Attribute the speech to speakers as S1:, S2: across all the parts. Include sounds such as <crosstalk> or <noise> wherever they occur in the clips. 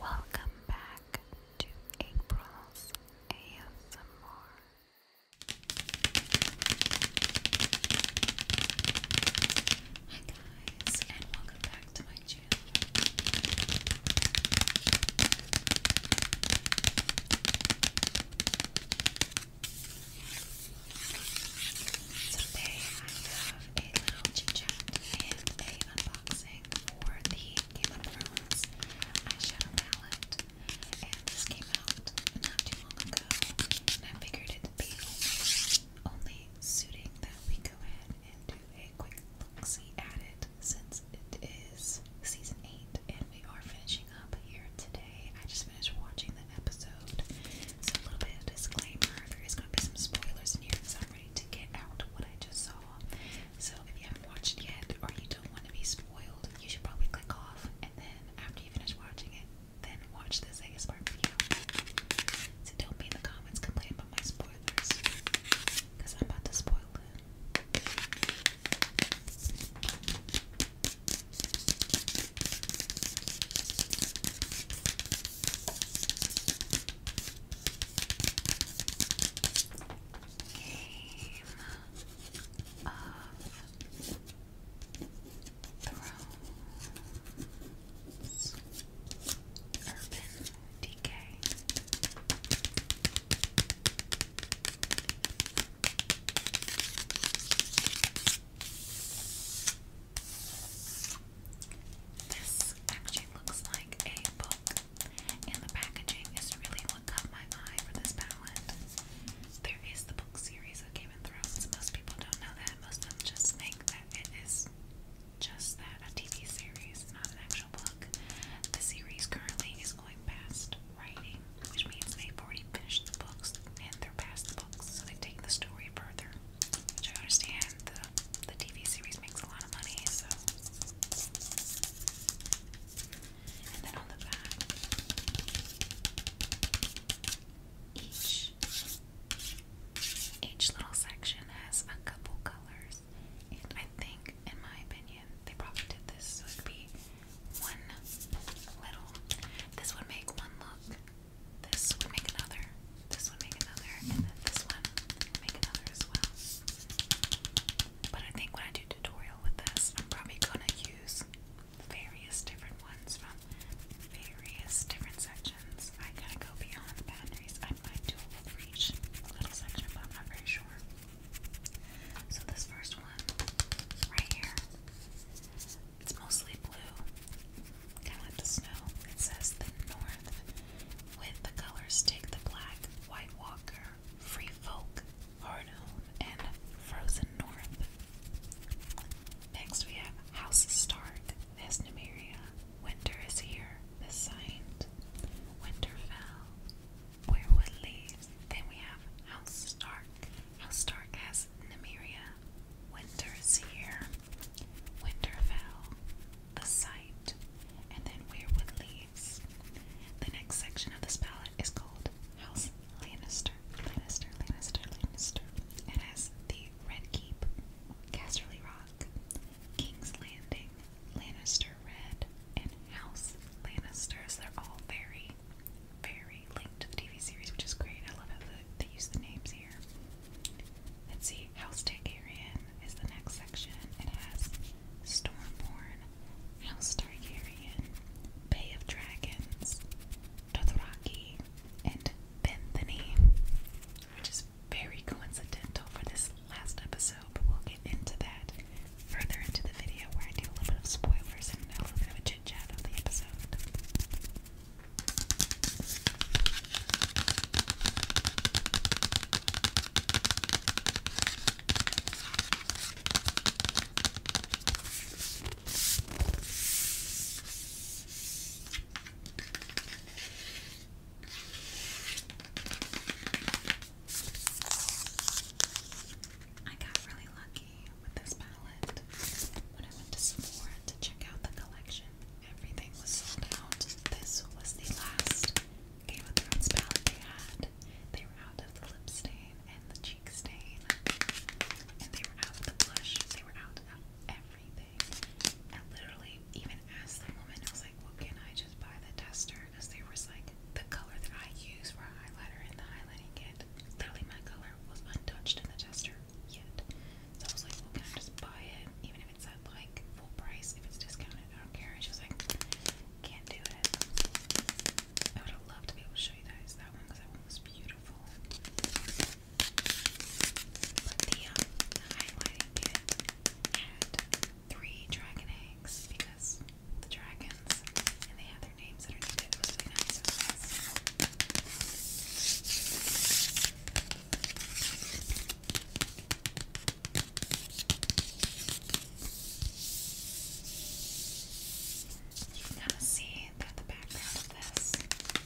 S1: Welcome back to April's ASMR. Hi guys, and welcome back to my channel. Today I have a little chat and a for the Game of Thrones eyeshadow palette, and this came out not too long ago, I figured it'd be only suiting that we go ahead and do a quick look at it, since it is season 8, and we are finishing up here today. I just finished watching the episode, so a little bit of disclaimer, there is going to be some spoilers in here, to get out what I just saw. So if you haven't watched it yet or you don't want to be spoiled, you should probably click off and then after you finish watching it, then watch this ASMR video. So don't be in the comments complaining about my spoilers. I'm about to spoil it. Game of Thrones Urban Decay. This actually looks like a book, and the packaging is really what caught my eye for this palette. There is the book series of Game of Thrones. Most people don't know that. Most of them just think that it is just that a TV series, not an actual book. The series currently is going past writing, which means they've already finished the books and they're past the books, so they take the story further. Which I understand the the TV series makes a lot of money, so and then on the back each each little section has a couple colors. And I think, in my opinion, they probably did this so it'd be one little. This would make one look. This would make another this one, make another, and then this one, make another as well. But I think when I do tutorial with this, I'm probably gonna use various different ones from various different sections. I gotta go beyond the I might do a little section, but I'm not very sure. So this first one, right here, it's mostly blue, kind the snow. It says the North with the colors take the black, white walker, free folk, hard and frozen north. Next we have House Stark, This Numeria. Winter is here, the signed. Winter fell, Weirwood leaves. Then we have House Stark. House Stark has Numeria. Winter is here. Winter the site, and then we leaves. The next section of this palette is called House Lannister. Lannister, Lannister, Lannister. It has the Red Keep, Casterly Rock, King's Landing, Lannister Red, and House Lannisters. They're all very, very linked to the TV series, which is great. I love how they use the names here. Let's see, House Targaryen is the next section. It has Stormborn, House Targaryen, Bay of Dragons, Dothraki, and Benthany, which is very coincidental for this last episode, but we'll get into that further into the video where I do a little bit of spoilers and a little bit of a chit chat of the episode. I got really lucky with this palette when I went to Sephora to check out the collection. Everything was sold out. This was the last Game of Thrones palette they had. They were out of the lip stain and the cheek stain. And they were out of the blush. They were out of everything. I literally even asked the woman, I was like, well, can I just buy the tester? Because there was like the color that I use for a highlighter and the highlighting kit. Literally my color was untouched in the tester yet. So I was like, well, can I just buy it? Even if if it said like full price, if it's discounted, I don't care. And she was like, can't do it. I would have loved to be able to show you guys that one because that one was beautiful. But the um, highlighting kit had three dragon eggs because the dragons and they had their names underneath it. It was really nice. It was nice. You can kind of see that the background of this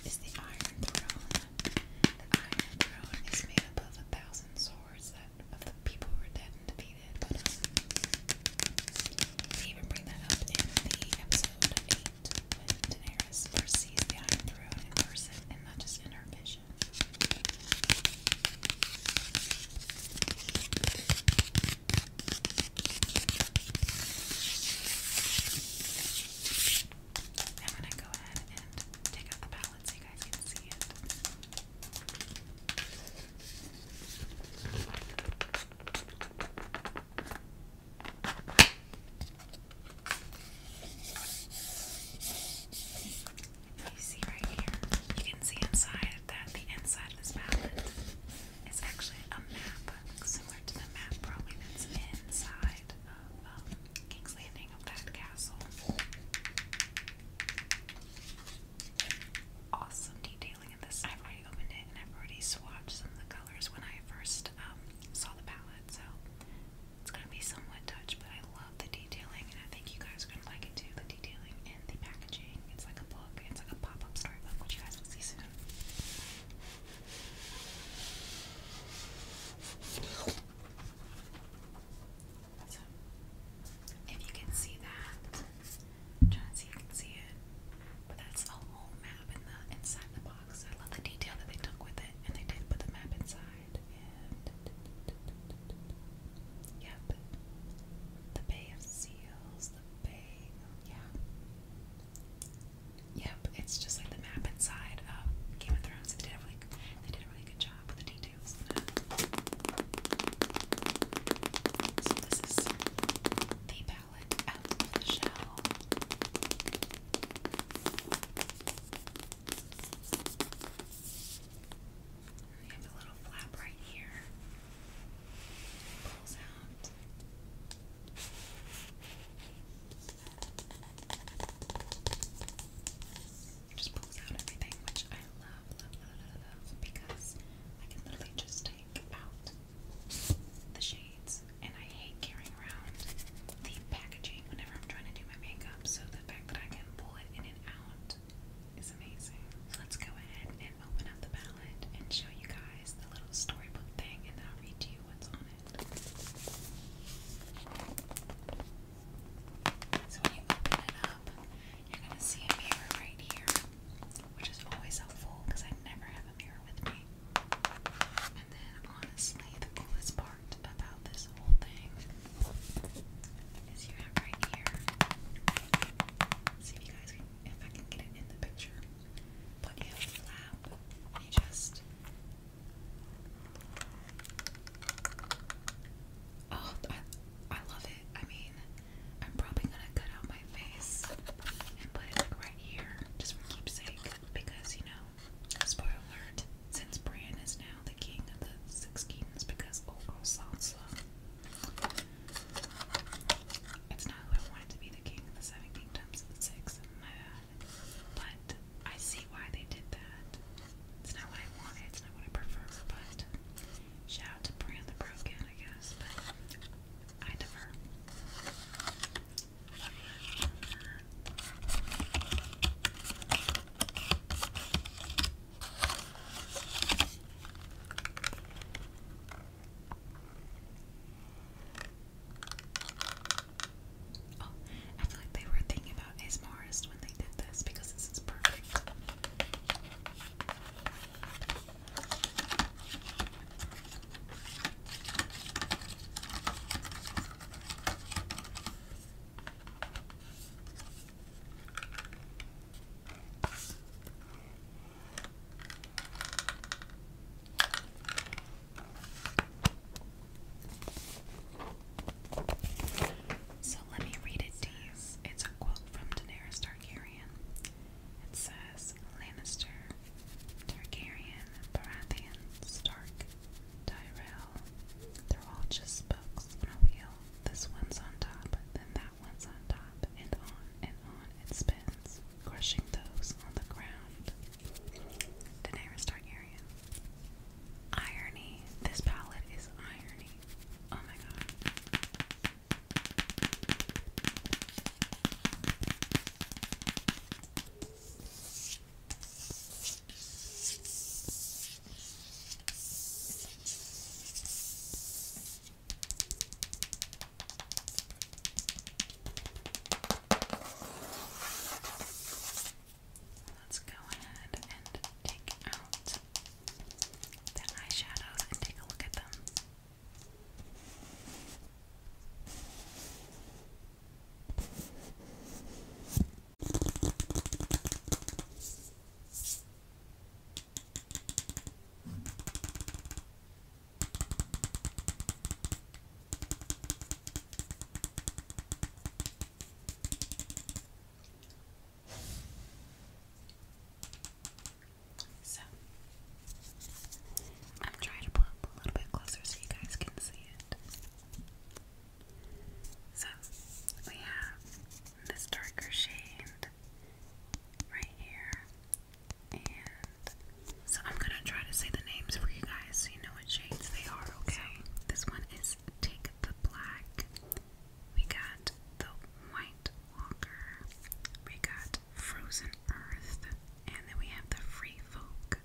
S1: is the Iron Throne. The Iron Throne is made up of a thousand swords that of the people who were defeated. they even bring that up in the episode eight Daenerys first sees the Iron Throne in person and not just in her vision station. I'm gonna go ahead and take out the palette so you guys can see it. You see right here, you can see inside that the inside of this palette is actually a map, similar to the map probably that's inside of um, King's Landing of that castle. Awesome detailing in this. I've already opened it and I've already swatched some of the colors when I first um, saw the palette, so it's gonna be somewhat touch, but I love the detailing, and I think you guys are gonna like it too. The detailing and the packaging. It's like a book. It's like a pop-up storybook, which you guys will see soon. if you can see that, trying to see if you can see it, but that's a whole map in the inside the box. I love the detail that they took with it, and they did put the map inside yep, the Bay of Seals, the Bay, yeah, yep. It's just like the map inside Game of Thrones. They did a really, they did a really good job with the details. So this is the palette out of the shell. We have a little flap right here. pulls out. just pulls out everything, which I love, love, love, love, because I can literally just take out the shades, and I hate carrying around the packaging whenever I'm trying to do my makeup, so the fact that I can pull it in and out is amazing. let's go ahead and open up the palette and show you guys the little storybook thing, and I'll read you what's on it. So when you open it up, you're gonna see a mirror right here, which is always helpful because I never have a mirror with me. And then honestly, the coolest part part about this whole thing is you have right here. See if you guys can, if I can get it in the picture. But you a flap. just. Oh, I love it. I mean, I'm probably gonna cut out my face and put it like right here, just for keepsake, because you know, spoiler alert, since Bran is now the king of the Six Kingdoms because old girl Sansa. It's not who I wanted to be the king of the Seven Kingdoms, but six, my bad. But I see why they did that. It's not what I wanted, it's not what I prefer, but shout out to Bran the Broken, I guess, but I defer. Oh, I feel like they were thinking about ASMRist when they did this because this is perfect. So let me read it to you. It's a quote from Daenerys Targaryen. It says Lannister, Targaryen, Baratheon, Stark, Tyrell. They're all just spokes on a wheel. This one's on top, then that one's on top, and on and on it spins, crushing those on the ground. Daenerys Targaryen. Irony. This palette is irony. Oh my god. Let's go ahead and take out the eyeshadows and take a look at them. So I'm trying to pull up a little bit closer so you guys can see it. So we have this darker shade right here. And so I'm gonna try to say the names for you guys so you know what shades they are, okay? this one is Take the Black. We got the White Walker. We got Frozen Earth. And then we have the Free Folk.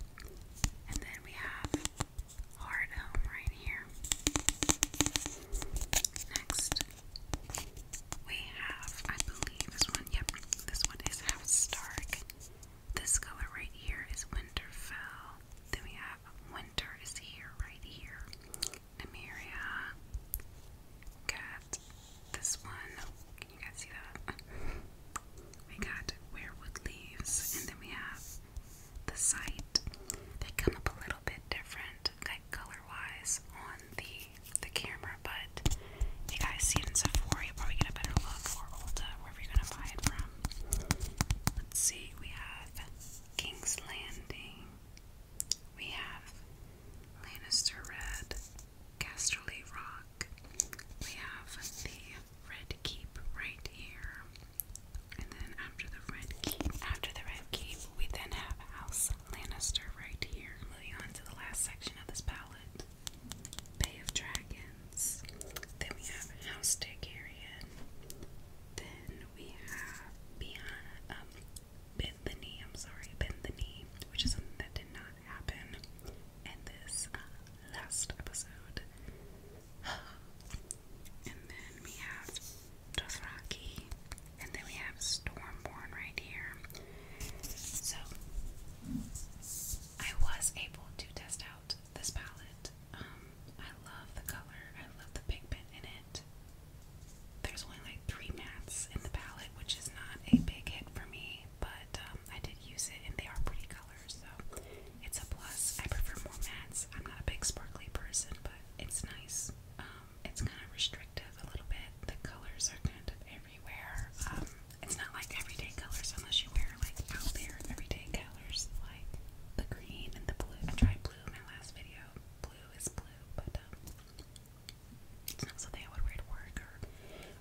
S1: And then we have hard right here. Next, we have, I believe this one, yep, this one is half stark. This color right here is Winterfell. Then we have Winter is here, right here. Nymeria. Got this one. Can you guys see that? <laughs> we got weirwood leaves, and then we have the site. They come up a little bit different, like color-wise, on the the camera, but you guys see it in Sephora, you probably get a better look, or Ulta, wherever you're gonna buy it from. Let's see, we have King's Landing, we have Lannister Red, Casterly Rock, we have the red keep right here. And then after the red keep, after the red keep, we then have House Lannister right here. Moving on to the last section of this palette, Bay of Dragons. Then we have House Targaryen. Then we have Biana, um, Benthany. I'm sorry, Benthany, which is something that did not happen in this uh, last episode. And then we have Dothraki. And then we have Stormborn right here. So I was able to test out this palette. Um, I love the color. I love the pigment in it. There's only like three mattes in the palette, which is not a big hit for me, but um, I did use it and they are pretty colors so it's a plus. I prefer more mattes. I'm not a big sparkly person, but it's nice. Um, it's kind of restrictive a little bit. The colors are kind of everywhere. Um, it's not like everyday colors unless you wear like out there everyday colors like the green and the blue. I tried blue in my last video. Blue is blue, but um, it's not something I would wear to work or,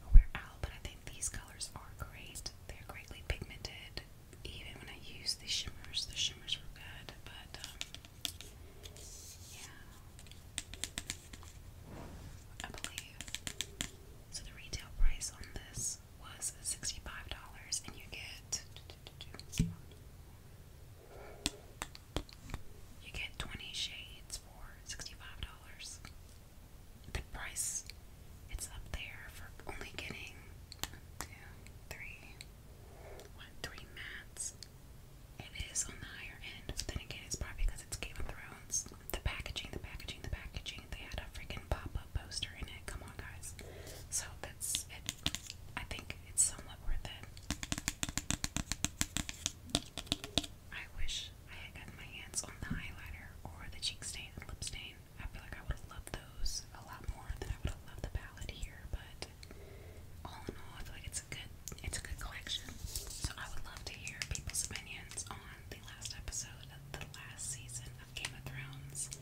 S1: or wear out. But I think these colors are great. They're greatly pigmented even when I used the shimmers, the shimmers were good, but um, yeah, I believe. So the retail price on this was $65 and you get you get 20 shades for $65 the price it's up there for only getting one, two, three, what, three mats. It is on the higher end, then again, it's probably because it's Game of Thrones. The packaging, the packaging, the packaging. They had a freaking pop-up poster in it. Come on, guys. So that's it. I think it's somewhat worth it. I wish I had gotten my hands on the highlighter or the cheek stain and lip stain. I feel like I would have loved those a lot more than I would have loved the palette here, but all in all, I feel like it's a good it's a good collection. So I would love to hear people's opinions on the last episode the last season of Game of Thrones.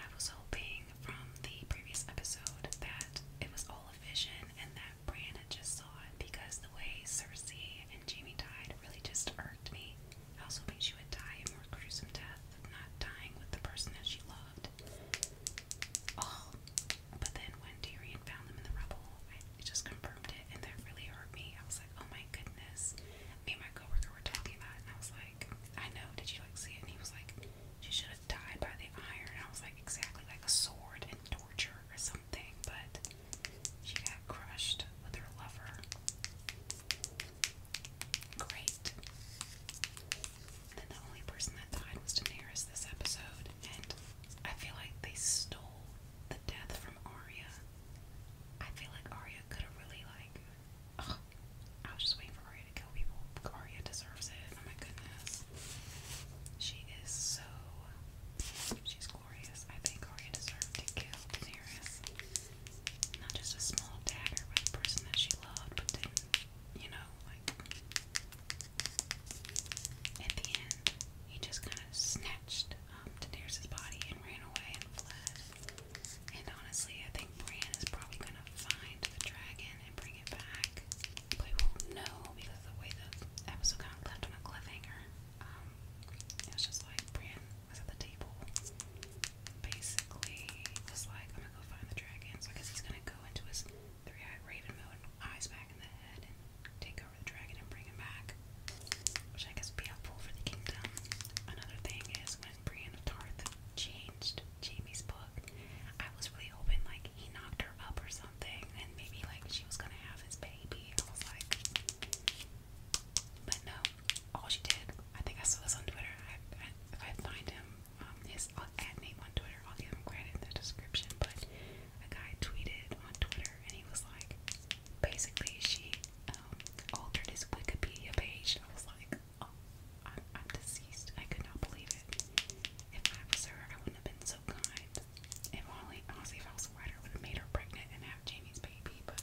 S1: I was hoping from the previous episode that it was all a vision and that Bran had just saw it because the way Cersei Jamie died really just irked me. I was hoping she would die a more gruesome death, not dying with the person that she loved. Oh, but then when Darian found them in the rubble, it just confirmed it, and that really hurt me. I was like, oh my goodness. Me and my coworker were talking about and I was like, I know, did you like see it? And he was like, she should have died by the iron. I was like, exactly, like a sword and torture or something, but she got crushed with her lover. Great. And the only person that died was Daenerys this episode, and I feel like they stole the death from Arya. I feel like Arya could have really like. I was just waiting for Arya to kill people. Arya deserves it. Oh my goodness, she is so. She's glorious. I think Arya deserved to kill Daenerys not just a small dagger, but the person that she loved, but then, you know, like at the end, he just kind of snatched um, Daenerys' body and ran away and fled. And honestly, I think Bran is probably going to find the dragon and bring it back. But we won't know because the way the episode kind of left on a cliffhanger. Um, it just like Bran was at the table, basically was like, I'm gonna go find the dragon. So I guess he's gonna go into his three-eyed raven mode, eyes back in the head, and take over the dragon and bring him back. Which I guess would be helpful for the kingdom. Another thing is when Brienne of Tarth changed Jamie's book, I was really hoping like he knocked her up or something, and maybe like she was gonna have his baby. I was like, but no, all she did, I think I saw this on Twitter. I, I, if I find him, um, his uh, ad name on Twitter, I'll give him credit in the description. But a guy tweeted on Twitter, and he was like, basically, she um, altered his Wikipedia page. I was like, oh, I'm, I'm deceased. I could not believe it. If I was her, I wouldn't have been so kind. If only, honestly, if I was a writer, I would have made her pregnant and have Jamie's baby, but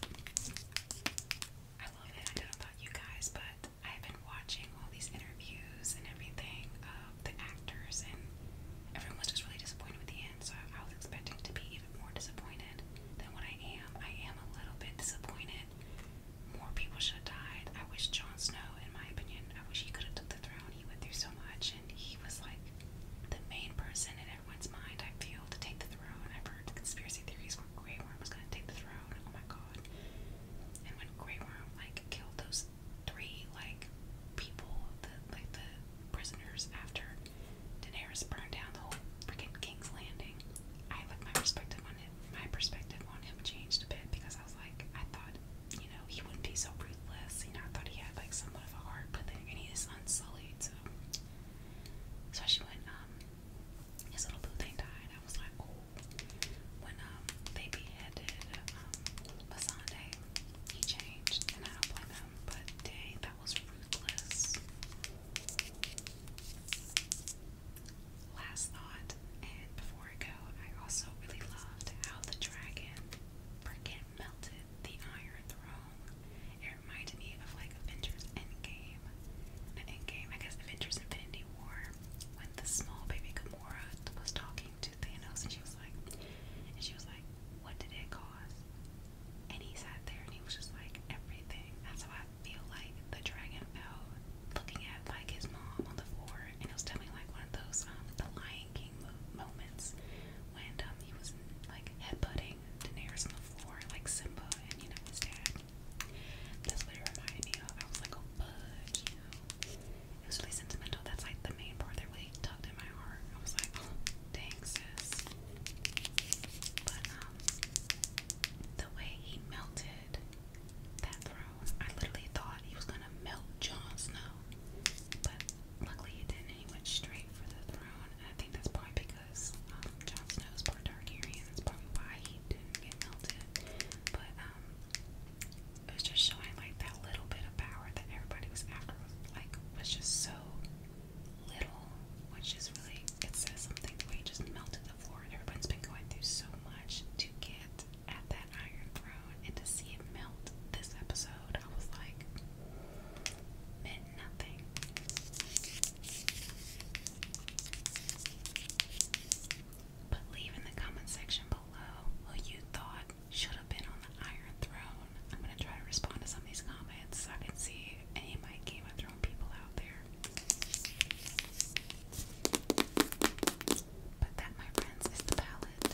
S1: I love it. I don't know about you guys, but I've been watching all these interviews and everything of the actors, and everyone was just really disappointed with the end. So I was expecting to be even more disappointed than what I am. I am a little bit disappointed. More people should have died. I wish Jon Snow, in my opinion, I wish he could have took the throne. He went through so much, and he was like the main person in everyone's mind, I feel, to take the throne. I've heard the conspiracy theories where Grey Worm was going to take the throne. Oh my god. And when Grey Worm, like, killed those three, like, people, the, like, the prisoners after Daenerys burned down the whole freaking King's Landing, I, like, my perspective on him, my perspective on him changed a bit because I was like, I thought, you know, he wouldn't be so ruthless. You know, I thought he had, like, somewhat of heart, but then he is unsullied, so Especially when um his little blue thing died. I was like, oh. When um they beheaded um Masande, he changed, and I don't blame him. But dang, that was ruthless. Last thought, and before I go, I also really loved how the dragon freaking melted the Iron Throne it reminded me of like Avengers Endgame. Not Endgame, I guess Avengers Infinity War. When the small baby Gamora was talking to Thanos and she was like and she was like, What did it cause? And he sat there and he was just like, Everything. That's how I feel like the dragon fell looking at like his mom on the floor and it was definitely like one of those um the Lion King mo moments when um he was like headbutting crying. Daenerys on the floor, like Simba and you know his dad. That's what it reminded me of. I was like, oh, fuck you. It was really sentimental. That's like the main part that really tugged in my heart. I was like, oh, dang, sis. But, um, the way he melted that throne, I literally thought he was gonna melt Jon Snow. But luckily he didn't. He went straight for the throne. I think that's probably because because um, Jon Snow's part Targaryen. That's probably why he didn't get melted. But um, it was just showing like that little bit of power that everybody was after. Was, like was just so little, which is really it says something. The way it just melted the floor. Everyone's been going through so much to get at that Iron Throne, and to see it melt this episode, I was like, meant nothing leave in the comment section below who you thought should have been on the Iron Throne. I'm going to try to respond to some of these comments so I can see any my Game of Thrones people out there. But that, my friends, is the palette.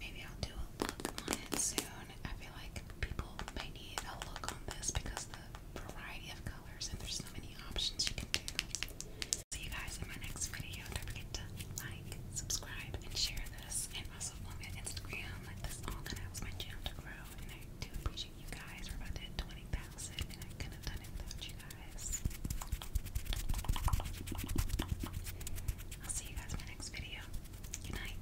S1: Maybe I'll do a look on it soon. I feel like people may need a look on this because the variety of colors and there's so many options you can do. See you guys in my next video. Don't forget to like, subscribe, and share this. And also follow me on Instagram. Like this all that helps my channel grow. And I do appreciate you guys. We're about to hit 20,000 and I couldn't have done it without you guys. I'll see you guys in my next video. Good night.